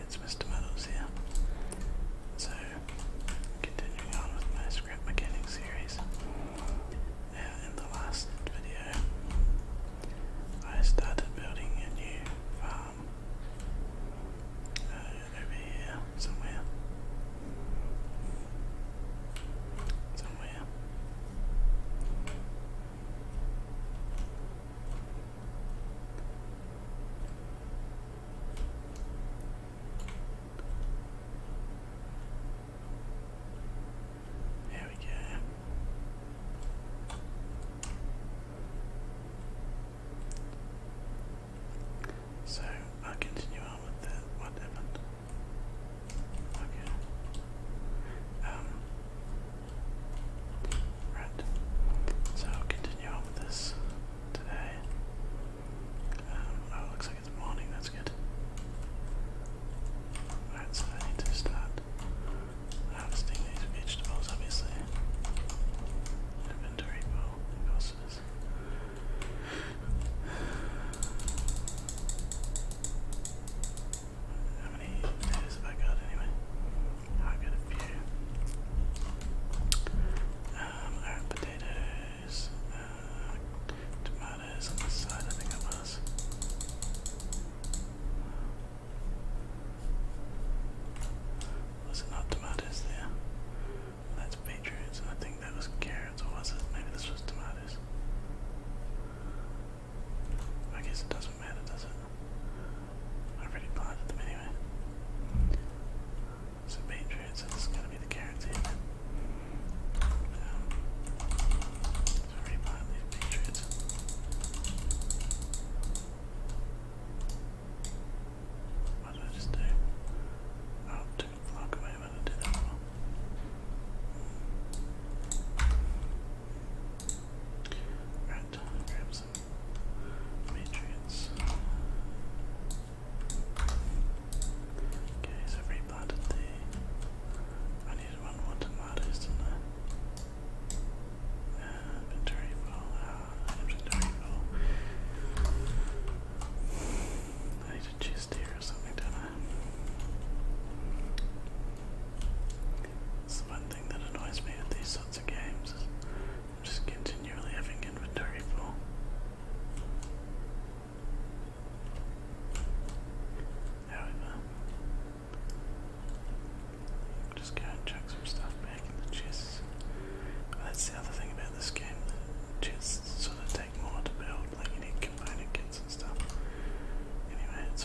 it's Mr. Meadows here. So, continuing on with my scrap series. Now, in the last video, I started building a new farm uh, over here somewhere. Somewhere. There we go. So I'll continue on with the what happened. Okay. Um, Right. So I'll continue on with this today. Um, oh, looks like it's morning, that's good. Alright, so I need to start harvesting these vegetables, obviously. Inventory pool, imposters. How many potatoes have I got anyway? I got a few. Um, I had potatoes, uh, tomatoes on the side, I think it was. Was it not tomatoes there? That's beetroots, I think that was carrots, or was it? Maybe this was tomatoes. I guess it doesn't matter, does it? I already planted them anyway. So beetroot, this is going to be the carrots here I've already What did I just do? Oh, it took a I did that one. Alright, grab some Patriots. Okay, so i replanted the. I needed one more tomatoes, didn't I? Uh, inventory uh, I need a chest here or something, don't I? It's the one thing that annoys me with these sets of games. Just continually having inventory full. There Just go and chuck some stuff back in the chests. that's the other thing about this game. The chests sort of take more to build, like you need component kits and stuff. Anyway, it's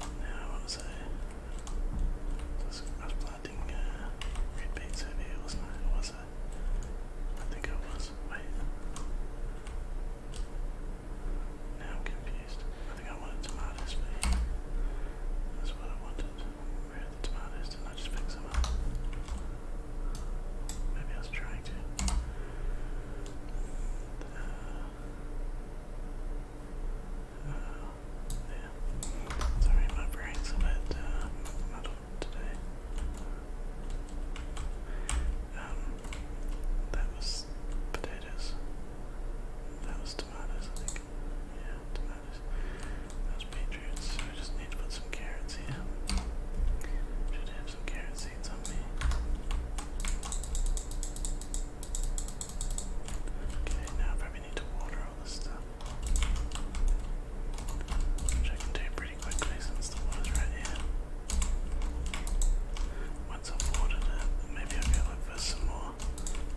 Now, what was I? Was, planting uh, red beans over here, wasn't I? was I? I think I was. Wait. Now confused. I think I wanted tomatoes, but that's what I wanted. Where are the tomatoes? did I just pick some up? Maybe I was trying to. Uh, yeah. Sorry, my brain's a bit uh, muddled today. Um, that was potatoes. That was tomatoes, I think. Yeah, tomatoes. That was beetroots. So I just need to put some carrots here some carrot seeds on me. Okay, now probably need to water all this stuff. Which I can do pretty quickly since the water's right Once I've watered it, maybe I'll look for some more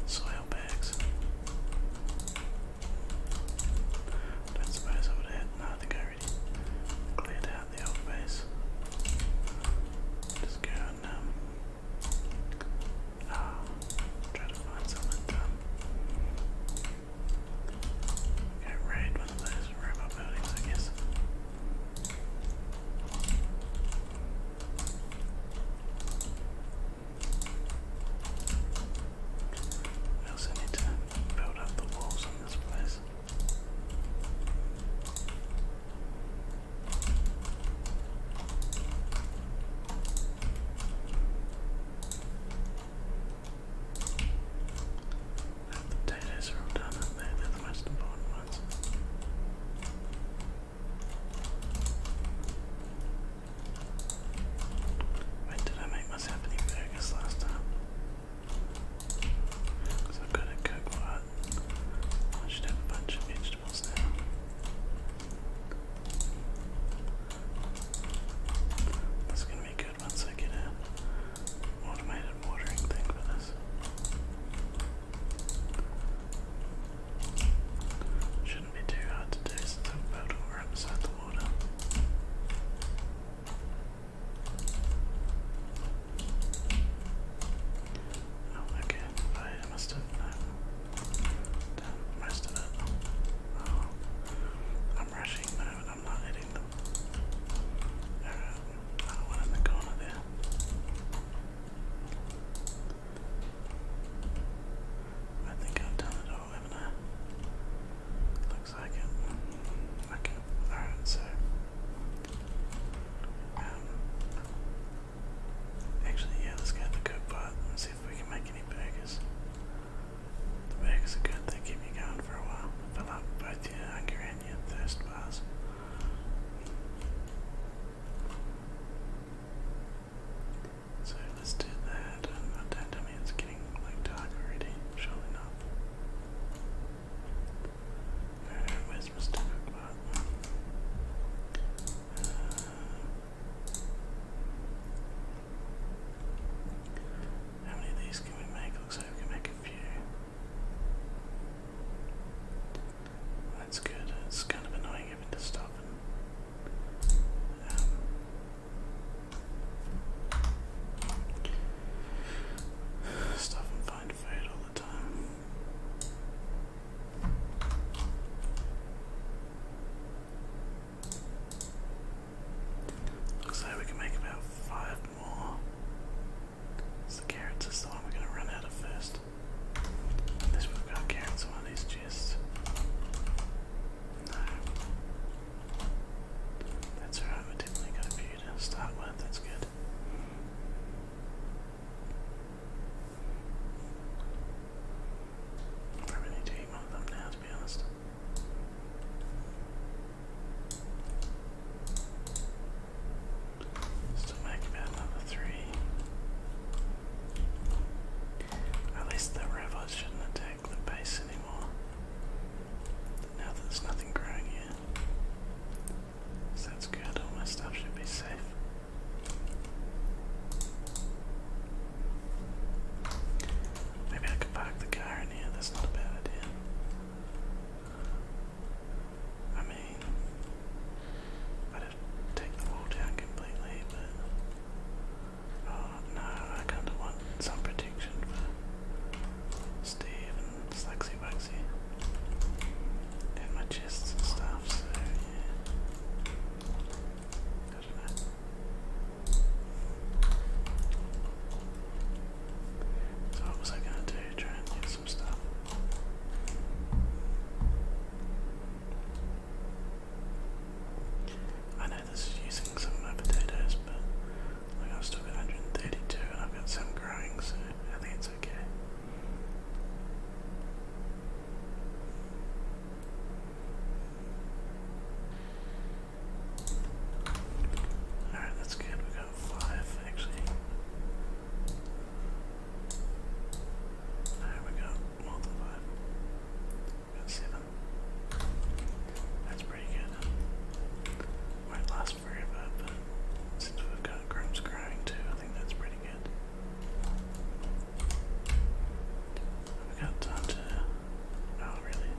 soil bags. don't suppose I would have. No, I think I already out the old base. Just go and um, ah, try to find something dumb. Go of those robot buildings, I guess. We also need to build up the walls this place. The potatoes are all done, are they? are the most important ones. When did I make my Sappany burgers last time? Because i am going to cook what? I should have a bunch of vegetables now. That's going to be good once I get an automated watering thing for this. Shouldn't be too hard to do since I've built all right beside the water. Oh, okay. I must have no. Uh, done most it. Oh, I'm rushing now, and I'm not hitting them. Alright, uh, another one in the corner there. I think I've done it Looks like it. Okay, alright, so. Um, actually, yeah, let's go the cook pot and see if we can make any burgers. The burgers are good, they keep you going for a while. Fill up both your hunger and your thirst bars. So let's do that. Um, I don't, I mean, it's like dark already, surely not. Uh, where's Mr. Cookbot? Uh, uh, how many of these can we make? Looks like we can make a few. that's good. It's kind of annoying even to stop and um, Stuff and find to fight all the time. Looks we can make about five more. It's the carrots is the one we're gonna run out of first. Unless we've got carrots one of these that's alright, we didn't make a computer to start with, that's good. Probably need to eat one of them now, to be honest. Still make about another three. At least the robots shouldn't attack the base anymore. Now that there's nothing growing here. So that's good, all my stuff should be safe. Maybe I could park the car in here, that's not a bad idea. I mean, I'd have take the wall down completely, but Oh, no, I kind of want some protection for Steve and Slugsy Waxy and my chests and stuff, so yeah. So what was I gonna do? Try and get some stuff. I know this using some of my potatoes, but I've still got 132 I've got some growing, so I think it's okay. Alright, that's good. we got five actually. No, we got more that's pretty good. Might last forever, but since we've got grubs growing too, I think that's pretty good. we got to. Oh, really?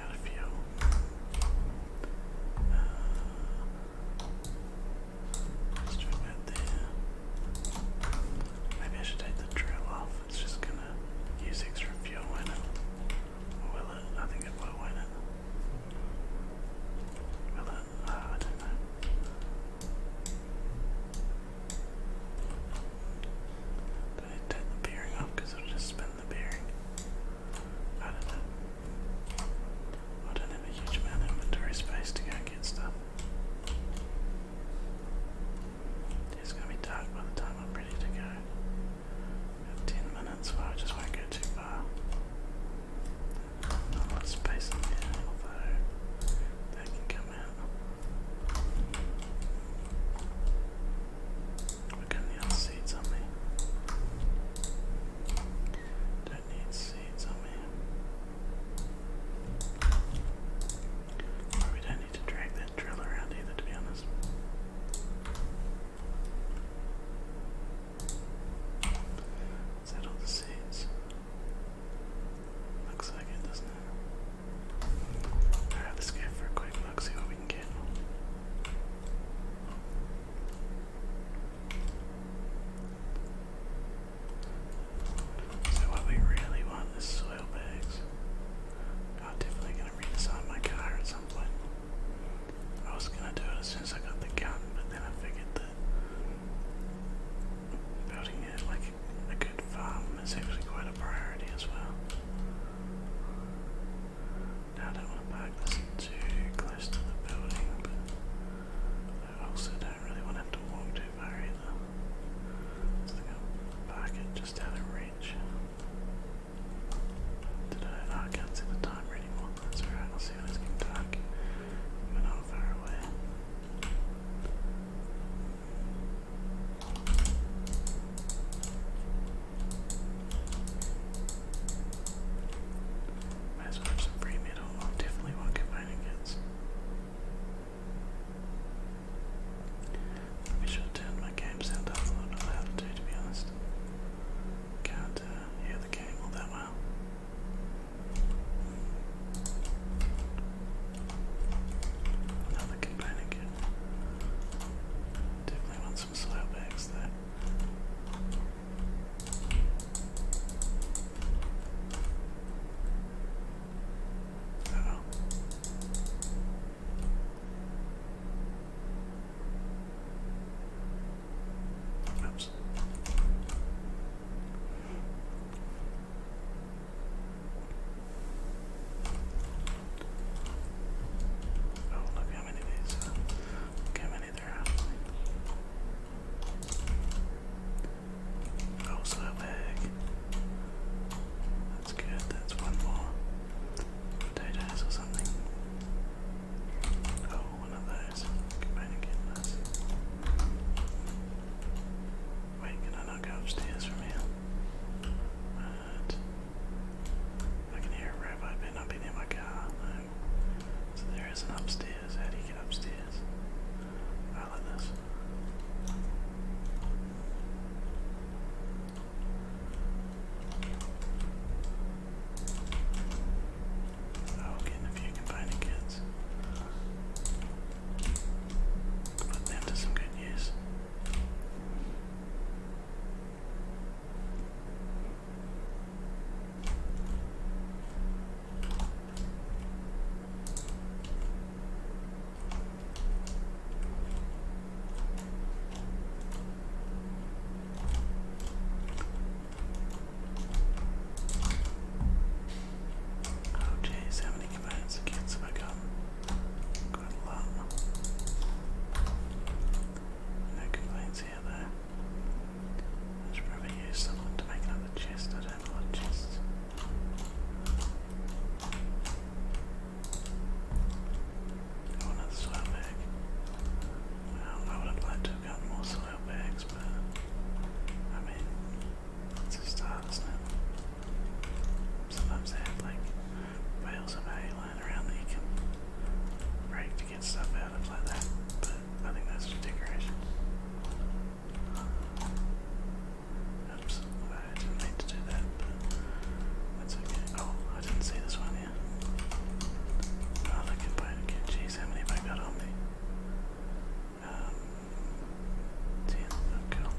Out of fuel. Uh, let's do it there. Maybe I should take the drill off it's just gonna use extra fuel in it. will it? I think it will, will it? Will it? Ah, I don't know. Did take the bearing off because it'll just spin the bearing? I don't know. I don't have a huge amount of inventory space to go and get stuff. It's gonna be dark by the time I'm ready to go. Got ten minutes where I just won't go too far. a lot of space in there, although that can come out. We're getting the seeds on me. Don't need seeds on me. we don't need to drag drill around either, to be honest. Is the seeds? Looks like it, doesn't Alright, let's go for a quick look, see what we can get. So what we really want is soil bags. I'm definitely gonna redesign my car at some point. I was gonna do it as soon as I got the gun, but then I figured that building it like a good farm is actually quite a priority as well. Now I don't want to park this too close to the building, but I also don't really want to have to walk too far either. So I'm gonna it just did oh, I? can't see the timer anymore. That's alright, I'll see when it's getting dark. We're not far away. Might as well have some free metal. I definitely won't get let me shut down my game sound off. I don't know how to do to be honest. Can't uh, hear the game all that well. Another complaining kid. Definitely want some slow bags there. -oh. Oops. Oh, look how many of how many there are. Oh, so that that's good, that's one more potatoes or something. Oh, one of those. Combine and get Wait, can I not go upstairs from here? What? I can hear a rabbi, but not been in my car. So there is an upstairs. How do you get upstairs? I like this. Oh, you a few confining kids. Put them to some good use. Oh jeez, how many commands have I got? Quite a No complaints here though. I should probably use someone to make another chest. I don't have chests. Oh, another soil bag. Well, I would have to have more soil bags, but I mean, it's a start, isn't it? Sometimes they have like piles of hay lying around that you can break to get stuff out of like that, but I think that's just decoration. Oops, I didn't mean to do that, that's okay. Oh, I didn't see this one here. Oh, look at Bodekin. Jeez, how many have I got on me? Um, 10, oh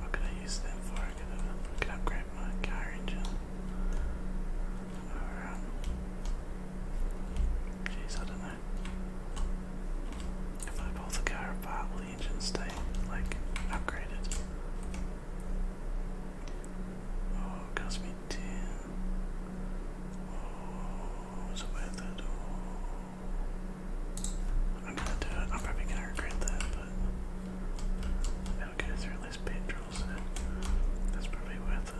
What could I use them for? I could, upgrade my car Or, um, Jeez, I don't know. If I pull the car apart, will like, upgraded. Oh, cost me 10. Oh, it's worth it. Oh. I'm gonna do it. I'm probably gonna regret that, but it'll go through less petrol, so that's probably worth it.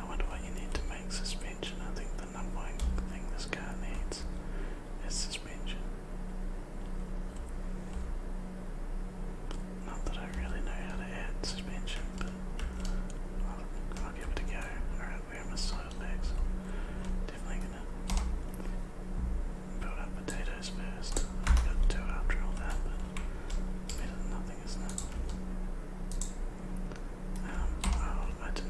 I wonder what you need to make suspension. I think the number one thing this car needs is suspension. Not that I really know how to add suspension, but I'll, I'll give it a go. Alright, where are my side legs? Definitely gonna build up potatoes first. I've got two after all that, but nothing, isn't um, I did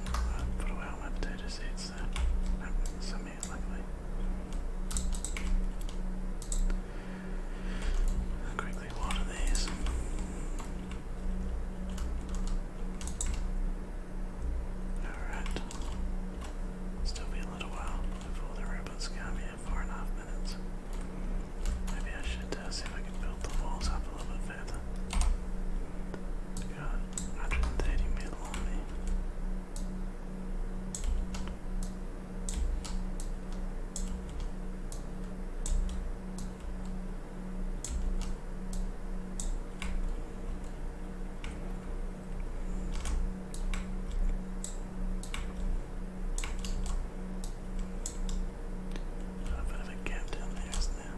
put away all my potato seeds there. Nope, some here, luckily. I'll quickly these. Alright. Still be a little while before the robots come, yeah four and a half minutes. Maybe I should uh, see if I can build the walls up a little bit further. We got 130 metal on me. Got a bit of a gap down there, isn't there?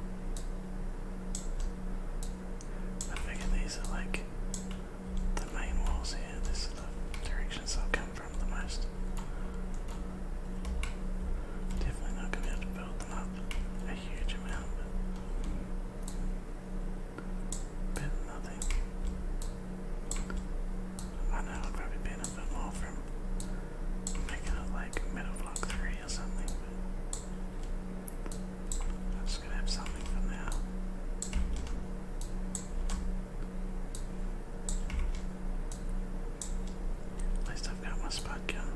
I figure these are like the main walls here. This is the directions I'll come from the most. Definitely not going to be able to build them up a huge amount bit nothing. I know I'll probably be a bit more from making it like middle three or something, I'm just gonna have something for now. At least I've got my spot gun.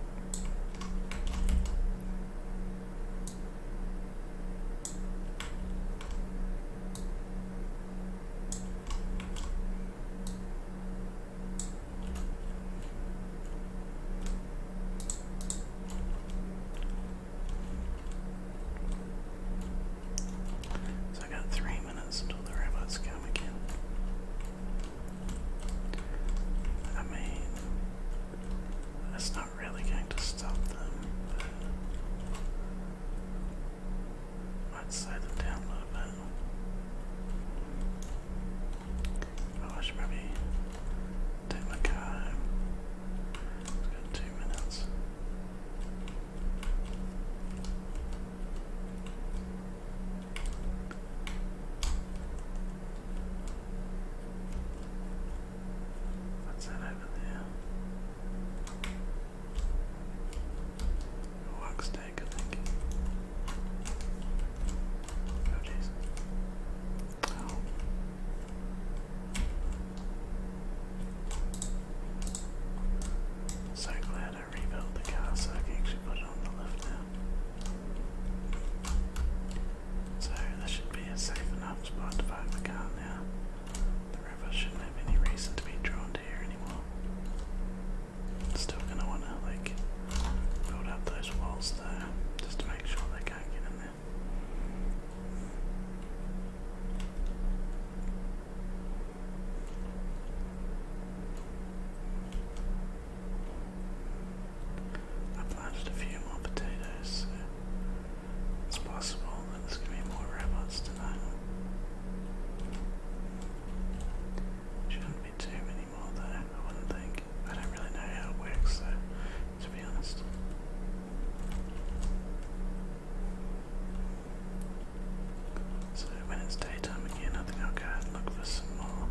So I got three minutes until the robots come again. I mean, that's not really going to stop them, Right side them down a little bit. Oh, I take my car home. it got two minutes. What's that over there? Wax tank, Oh jeez. So glad I rebuilt the car so I can actually put it on the lift now. So this should be a safe enough spot to park the car now. The river shouldn't have any reason to be drawn to here anymore. Still gonna wanna like build up those walls though, just to make sure they can't get in there. I planted a few more potatoes, it's possible that there's going to be more robots tonight. Shouldn't be too many more though, I wouldn't think. I don't really know how it works though, to be honest. So when it's daytime again, I think I'll go and look for some more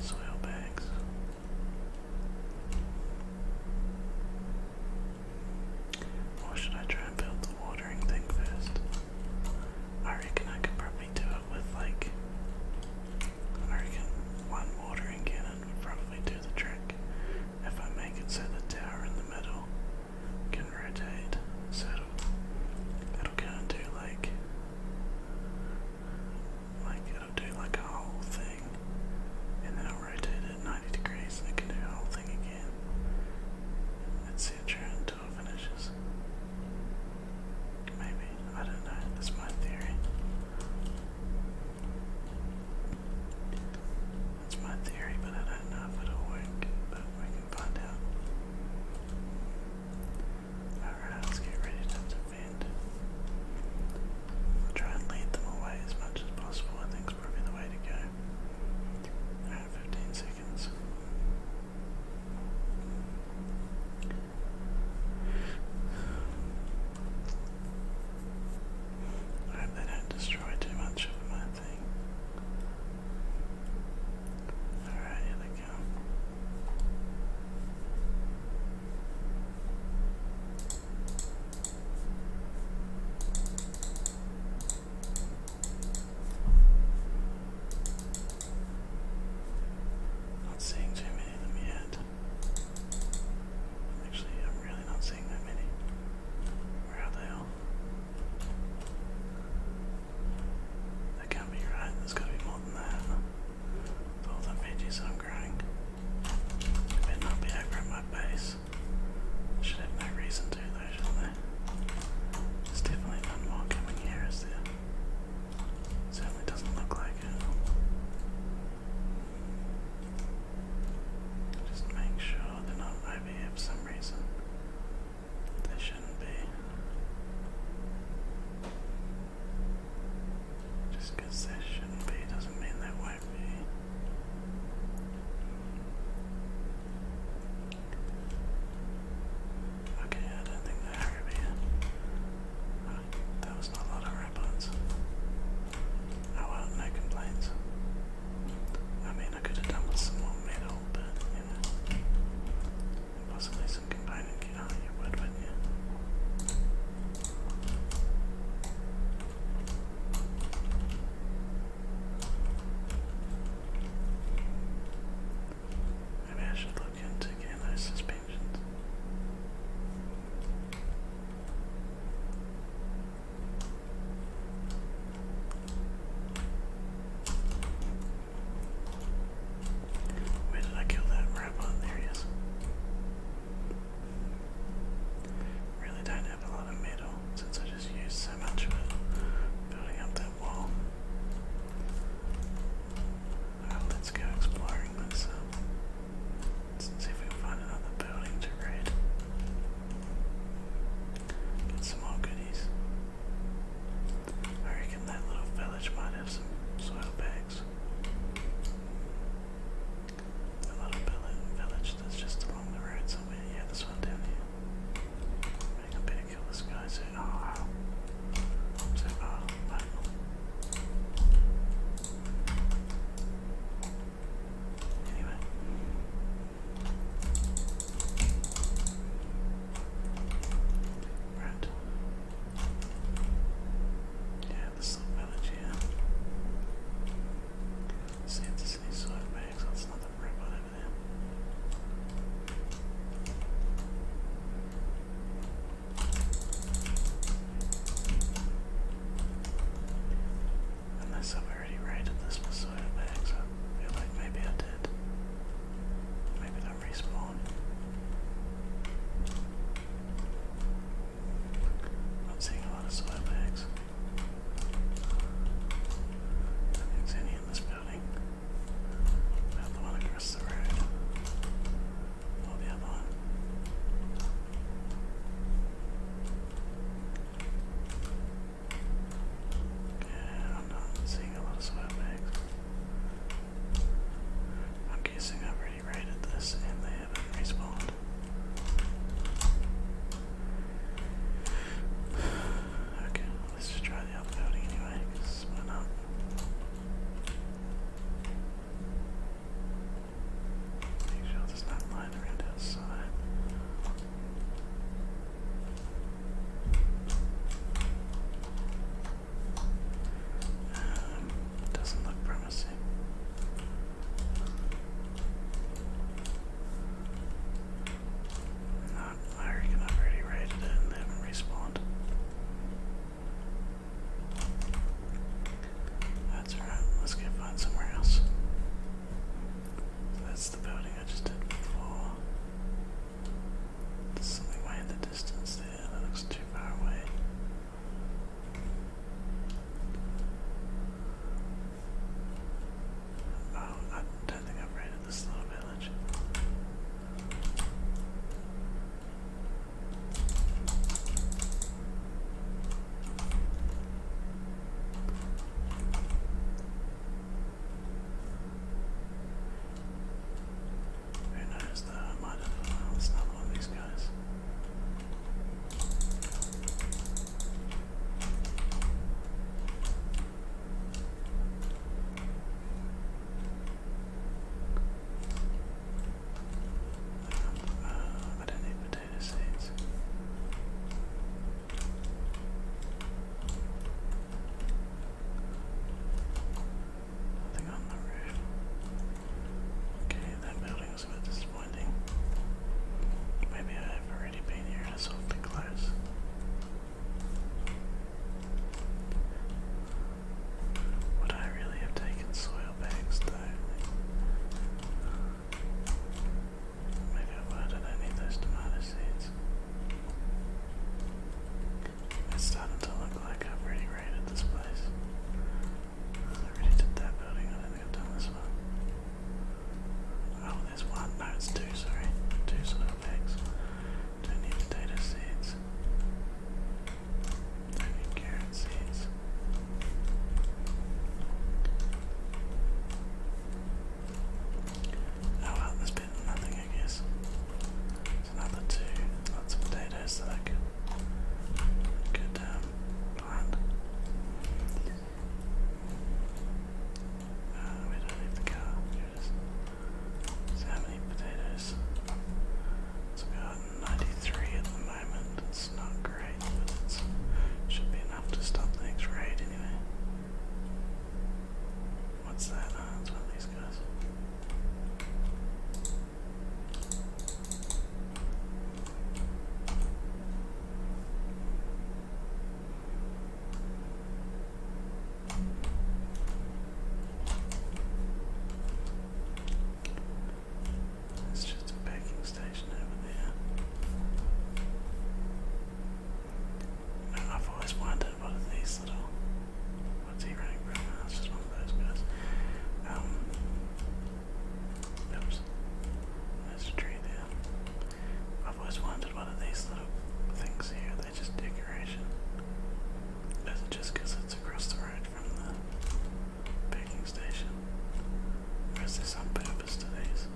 soil bags. Or should I try and build the watering thing first? I reckon I could probably do it with like. I reckon one watering cannon would probably do the trick if I make it so the tower in the middle can rotate. So it'll, it'll kind of do like. Like it'll do like a whole thing and then rotate at 90 degrees. I can do the whole thing again. Let's see it through until it finishes. Maybe. I don't know. That's my theory. That's my theory, but I don't know if it'll work. But we can find out. Alright, let's get ready to defend. try and lead them away as much as possible. I think it's probably the way to go. I have 15 seconds. I hope they don't destroy too much of my thing. Alright, here they come. Not seeing too many of them yet. Actually, I'm really not seeing that many. Where are they all? That can't be right. There's got to be more than that. all the veggies I'm growing, I better not be over at my base. Should have no reason to though, shall they? There's definitely one more coming here, is there? Certainly doesn't look like it. Just make sure they're not over for some reason. They shouldn't be. Just they shouldn't be doesn't mean they won't might Okay, I don't think they're over that was not a lot of rapids. Oh well, no complaints. I mean, I could have done with some more metal, but possibly some component gear. Oh, would, wouldn't you? Maybe I should look into getting those suspensions. Where did I kill that robot? There he is. Really don't have a lot of metal since I just used so much of it building up that wall. let's go exploring. Um, let see if we find another building to raid. Get some more goodies. I reckon that little village might have some soil bags. The little village that's just along the road somewhere. Yeah, this one down here. Maybe I better kill this guy so oh, ow. Anyway. Right. Yeah, this little village here. Unless I've already raided this for soil bags, I feel like maybe I did. Maybe they'll respawn. am seeing a lot of soil bags. Nothing's any in this building. Not the one across the road. Or the other one. Yeah, I'm not seeing a lot of swag bags. I'm guessing I've already raided this and there have Okay, let's just try the other anyway, because why not? Make sure there's not lying around outside. Um, doesn't look promising. I reckon I've already raided it and haven't respawned. That's alright, let's go find somewhere else. that's the building I just did before. There's something way in the distance there that looks too far away. Oh, I don't think I've raided this little village. Who knows though, I might have uh, another one of these guys. Um, uh, I don't need potato seeds. Nothing on the roof. Okay, that building it a bit disappointing. Maybe I have already been here, that's awfully close. Would I really have taken soil bags though? Maybe I would, I do those tomato seeds. It's starting to look like I've already raided this place. I already did that building, I don't think I've done this one. Oh, there's one, no, it's two, sorry. Two soil bags. Don't need potato seeds. do carrot seeds. Oh well, there's been nothing, I guess. There's another two, lots of potatoes that I could, could um, uh, we don't need the car. it is. how many potatoes? It's about 93 at the moment. It's not great, but it should be enough to stop things. Right, anyway. What's that? Ah, it's one of these guys. It's just a packing station over there. I've always wondered what these little. What's he running for? That's just one of those guys. Um, Oops. There's tree there. I've always wondered what are these little things here, they just decoration? Is it just it's across the road from the packing station? Or is there some purpose to these?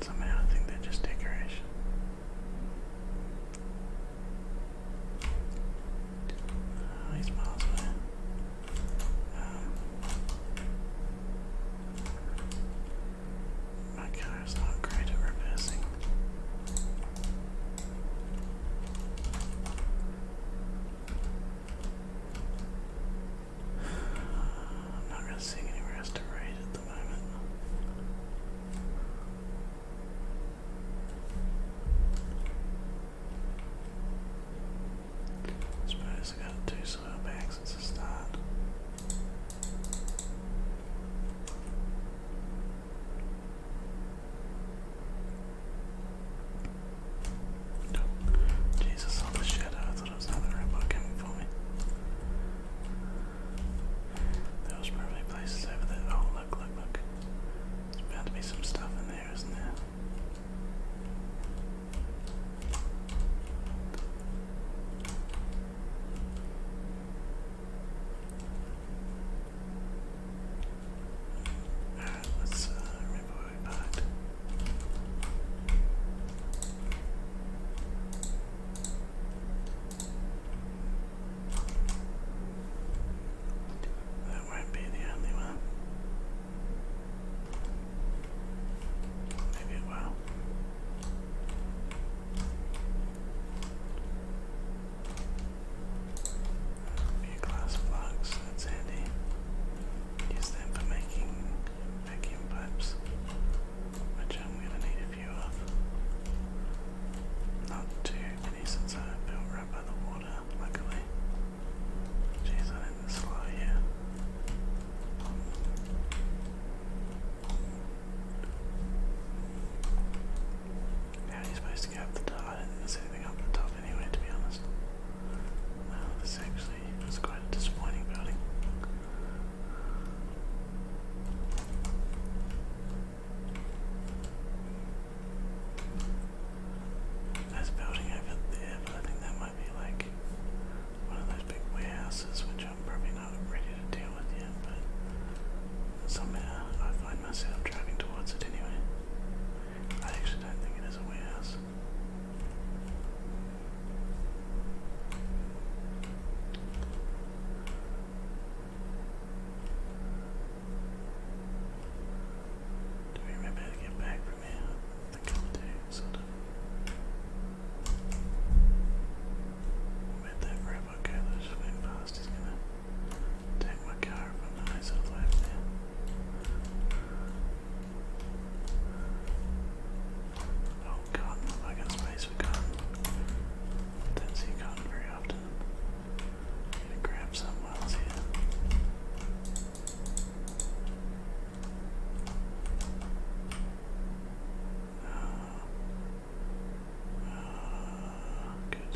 Somehow I think they're just decoration. Oh, he's miles away. Um, my car is not great at reversing. Uh, I'm not really seeing anywhere else to at the moment suppose I got two soil bags as start. Jesus, all the shadow. I thought it was another robot coming for me. Those probably places over there. Oh, look, look, look. There's bound to be some stuff in there, isn't there? Alright, let's uh, remember we parked. That won't be the only one. Maybe it will. A few glass blocks, that's handy. Use them for making vacuum pipes, which I'm going to need not too many since I built right by the water, luckily. Jeez, I didn't slow here. How are you supposed to get up the top? I didn't see anything up the top anyway, to be honest. this actually was quite a disappointing building. There's building over there, I think that might be like one of those big warehouses which I'm probably not ready to deal with yet, but somehow I find myself driving towards it anyway. I actually don't think it is a warehouse. Do we remember get back from here? I think I do, that robot go that just went He's gonna take my car if I'm Oh, cotton. I got space with cotton. Didn't see cotton very often. Need to grab some while it's here. Uh, uh, good.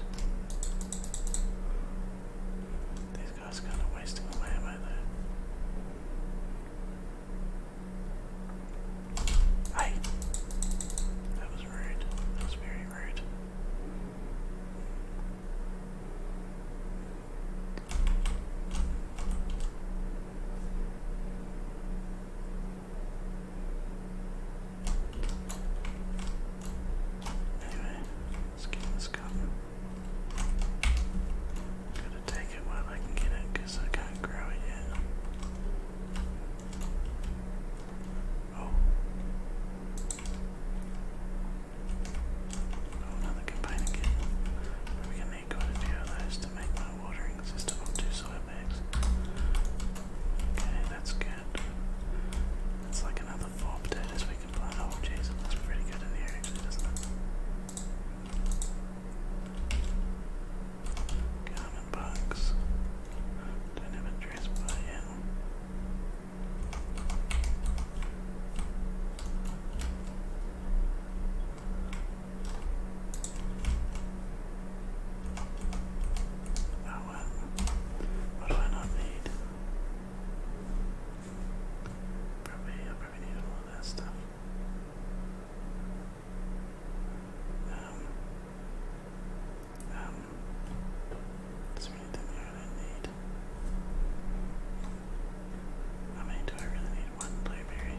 These guys are kind of wasting away, aren't they? Hi. That was rude. That was very rude. Anyway, let's get this cup. Gotta take it while I can get it I can't grow it yet. Oh. Oh, another companion kitten. I'm going to need quite a few of those to make my watering system of soil bags. Okay, that's good. That's like another four potatoes we can plant. Oh, jeez, it pretty good in here, actually, doesn't it? Common box. Don't have a dress by yet. Oh What do I not need? Probably, I probably need all that stuff. Um, um, do I really need one blueberry?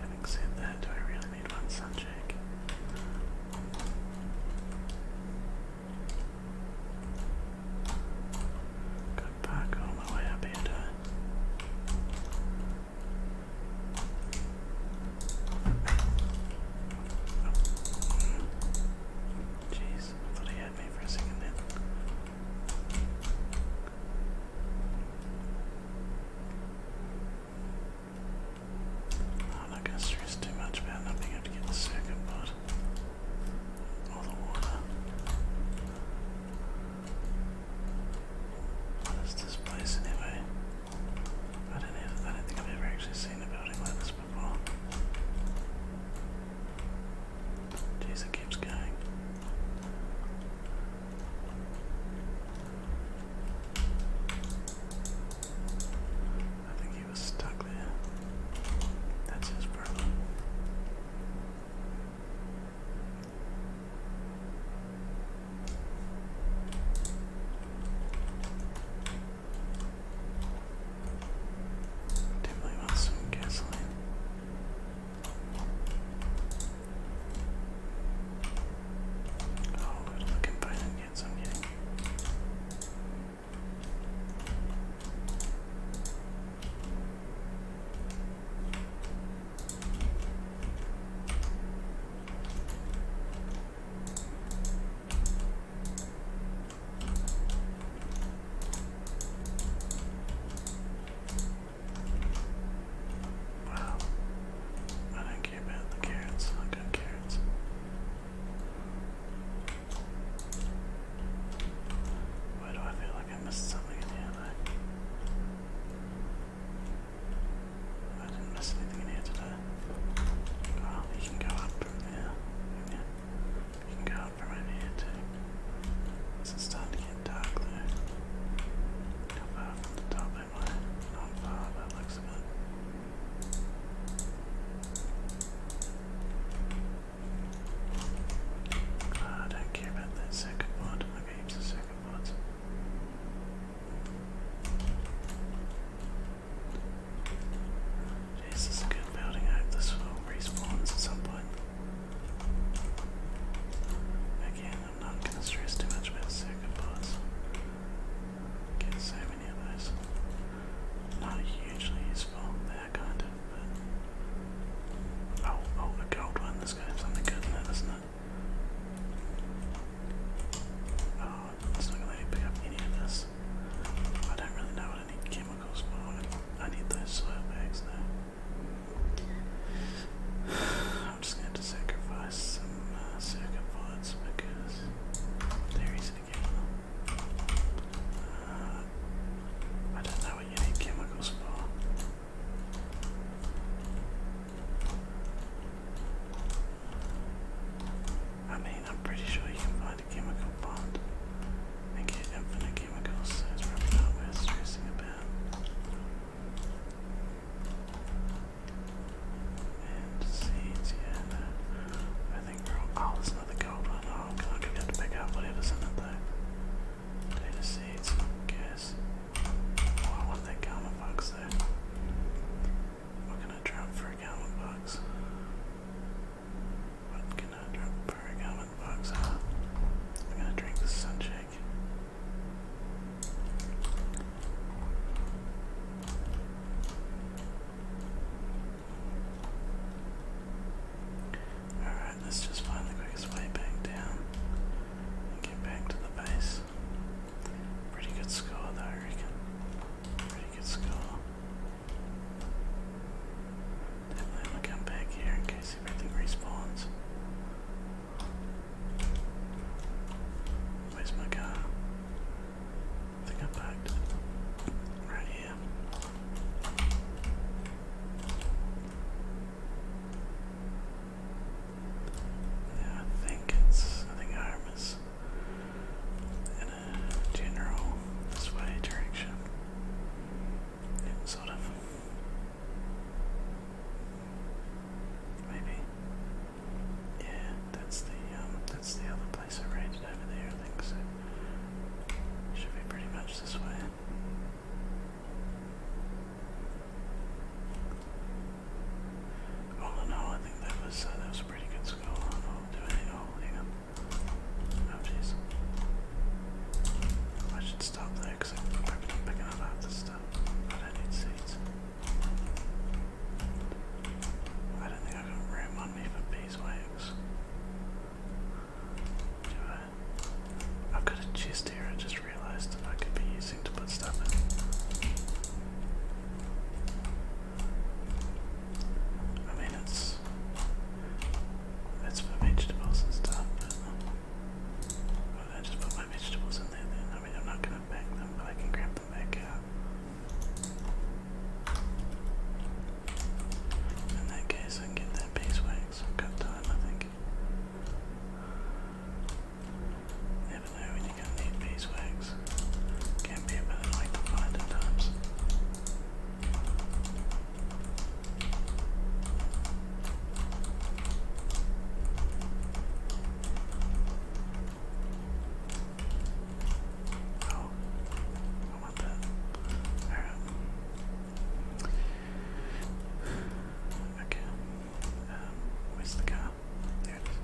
Having said that, do I really need one sunshake? Gotta all my way up here, I? Oh. Jeez, thought he had me for a second then. I'm oh, not going to stress too much about not being able to get the second board all What is this place anyway? I don't know. I don't think I've ever actually seen a building like this before. Jeez, it keeps going. I think he was stuck there. That's his problem. Definitely want some gasoline. Oh, it'll look inviting yet, so I'm getting Wow. I don't care about the carrots. I got carrots. Why do I feel like I missed something in here I didn't miss anything in here today. Oh, you can go up from there. Yeah. You can go up from over here too. This is starting to get dark though. How far from the top am I? Not far, that looks good. Ah, I don't care about that second one. Okay, heaps second ones. this is a good building. I hope this will respawns at some point. Again, I'm not going to stress too much about circuit boards any of those. Not hugely useful, they kind of, Oh, oh, a gold one, let's something good in it, isn't it? Oh, it's not gonna pick up any of this. I don't really know what I chemicals for. I need those soil bags though. I'm just going to sacrifice some uh, circuit boards because there is I don't know what you need chemicals for. I mean, I'm pretty sure you can find a chemical bond and get infinite chemicals, so it's probably not worth stressing about. And seeds, yeah, I think we're all, oh, it's gold one. Oh, I'm gonna pick up whatever's in it though. Data seeds, gas. Oh, I want that karma box though. What can I drop for a karma box? What can I drop for a karma box? Ah, I'm gonna drink the sunshake. Alright, let's just find the quickest way back down get back to the base. Pretty good score though, I reckon. Pretty good score. Definitely wanna come back here in case everything respawns. Where's my car? I think I am it right here. I think it's, I think Hiram is in a general this way direction. sort of. Maybe. Yeah, that's the um, that's the other I should be pretty much this way. All in I think that was uh, that was a pretty good score. i do any oh hang on. Oh jeez. I should stop there because I'm probably not picking up half stuff. I don't need seeds. I don't think I've got room I? have got a chest here, I just realized that I could be using to put stuff in. I mean, it's. That's for vegetables and stuff, but. I just put my vegetables in there then. I mean, I'm not gonna pack them, but I can grab them back out. In that case, I get that beeswax. got time, I think. Never know when you're gonna need beeswax. Can be a bit annoying to find at times. Oh, I want that. Alright. Okay. where's the car? There it is.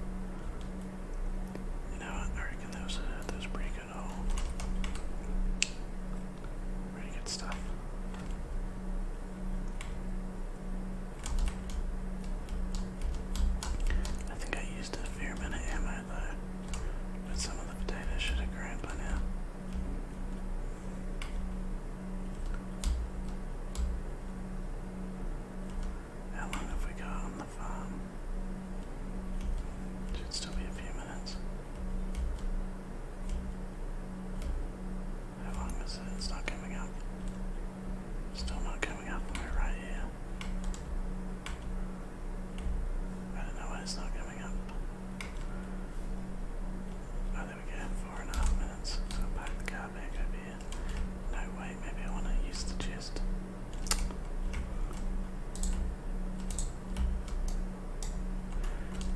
You know I reckon that was, pretty good haul. Pretty good stuff. I think I used a fair amount of ammo though, but some of the potatoes should have grown by now. How long have we got on the farm? Should still be a few minutes. How long is it? It's not coming up. Still not coming up we're right here. I don't know why it's not coming up. Oh, there we go. Four and a half minutes. So i the car back over here. No, wait, maybe I want to use the chest.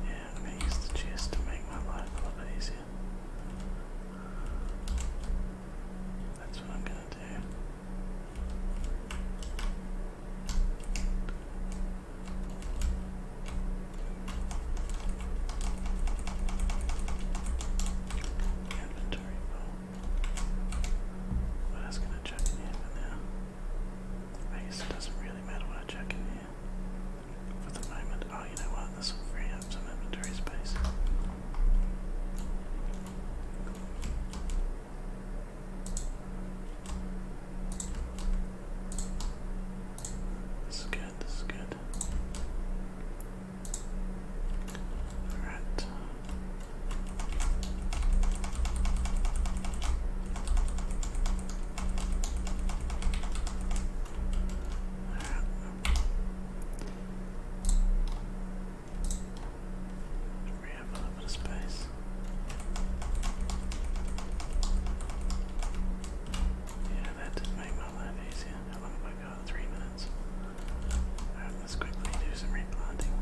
Yeah, I'm use the chest to make my life a little bit easier. That's what I'm going to do. Inventory bow. What else can check in here I guess it doesn't really matter what I check in here. For the moment, oh, you know what? This will free up some inventory space. This is good, this is good. Alright. Alright. We have a little bit of space. Yeah, that did make my life easier. How long have I got? Three minutes. Alright, let's quickly do some replanting.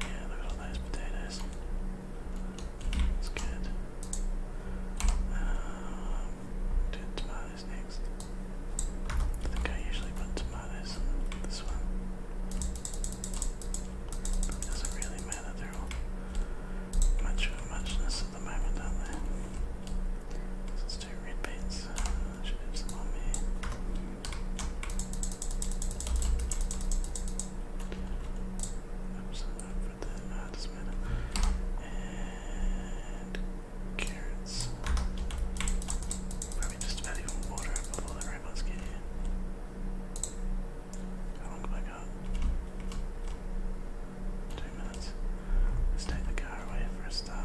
Yeah, look at all those potatoes. That's good. Um, tomatoes next. I think I usually put tomatoes in this one. doesn't really matter, they're all much of a muchness at the moment, aren't they? let's do red beans. Uh, should have some on there. Oops, over the uh, not matter. And carrots. Probably just about even water before the robots get here. How long have I got? Two minutes. Let's take the car away for a start.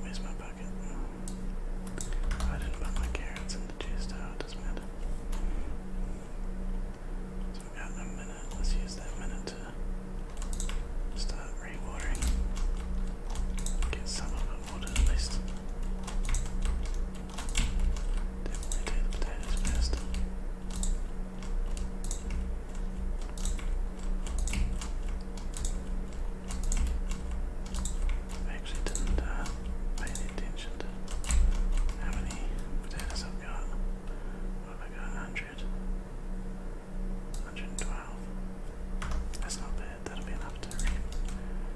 Where's my bucket? I didn't put my carrots in the juice it doesn't matter. So we got a minute, let's use that minute to start rewatering. Get some of water at least. Definitely do the potatoes first. I actually didn't uh, pay any attention to how many potatoes I've got. What have I got? 100? 112? That's not bad, that'll be enough to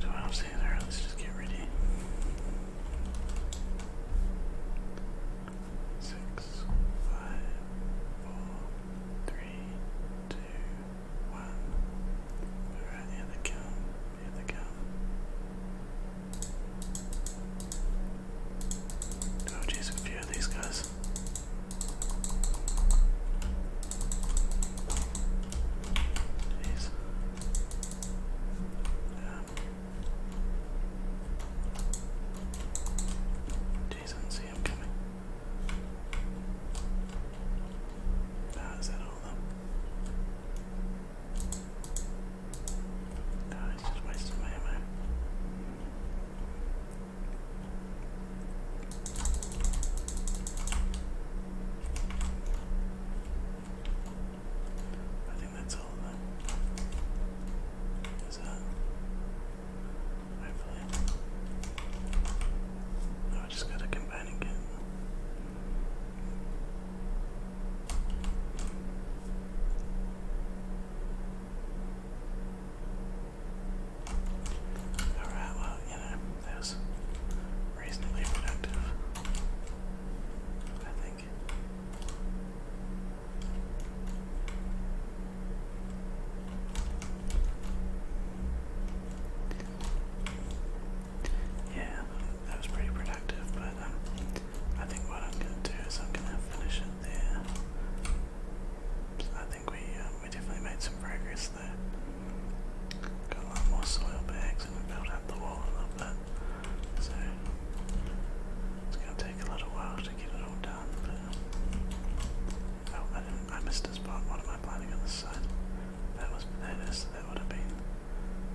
So I'm saying there, let's just get ready. Six, five, four, three, two, one. We're right the count, near the count. Oh jeez, a few of these guys. Jeez. Um, I did coming. Ah, is that all of them? Ah, he's just wasting my ammo. I think that's all of Is that? Hopefully. No, oh, I just got a companion again. Alright, well, you know, that was reasonably productive. I think. Yeah, that was pretty productive, but um, I think what I'm going to do is I'm going to finish it there. I think we um, we definitely made some progress there. Got a lot more soil bags and we built up the wall a little bit. So it's gonna take a little while to get it all done, oh, I missed a spot. What am I planting on this side? That was potatoes, that would have been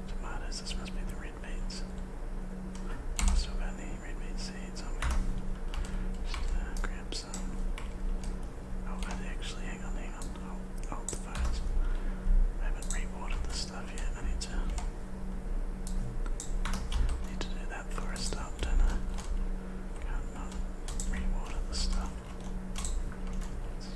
tomatoes, this must be the red beans. still got any red bean seeds on me. Uh, grab some. Oh, actually, hang on, hang on. Oh, oh, the files. I haven't rewarded this stuff yet. I need to need to do that for a stop, do I? Can't not rewater the stuff. It's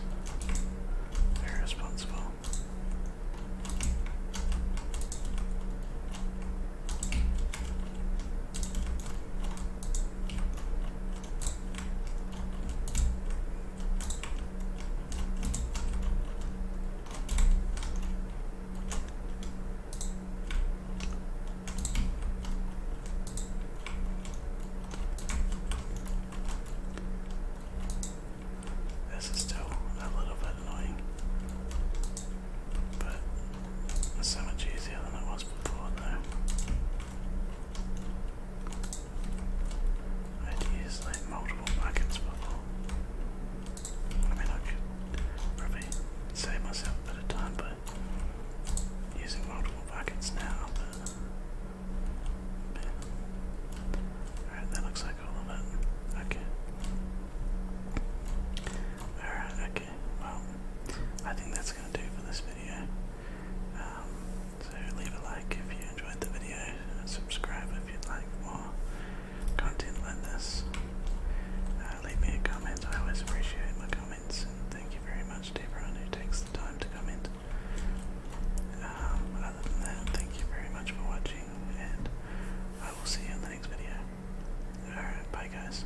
this is still a little bit annoying, but it's so much easier than it was before, though. I'd use like multiple buckets before. I mean, I could probably save myself a bit of time by using multiple buckets now, Alright, that looks like all of it. Okay. Alright, okay. Well, I think that's going to do for this video. Um, so leave a like if you enjoyed the video, subscribe if you'd like more content like this. Uh, leave me a comment, I always appreciate my comments and thank you very much to everyone who takes the time to comment. Um, other than that, thank you very much for watching and I will see you in the next video. Alright, bye guys.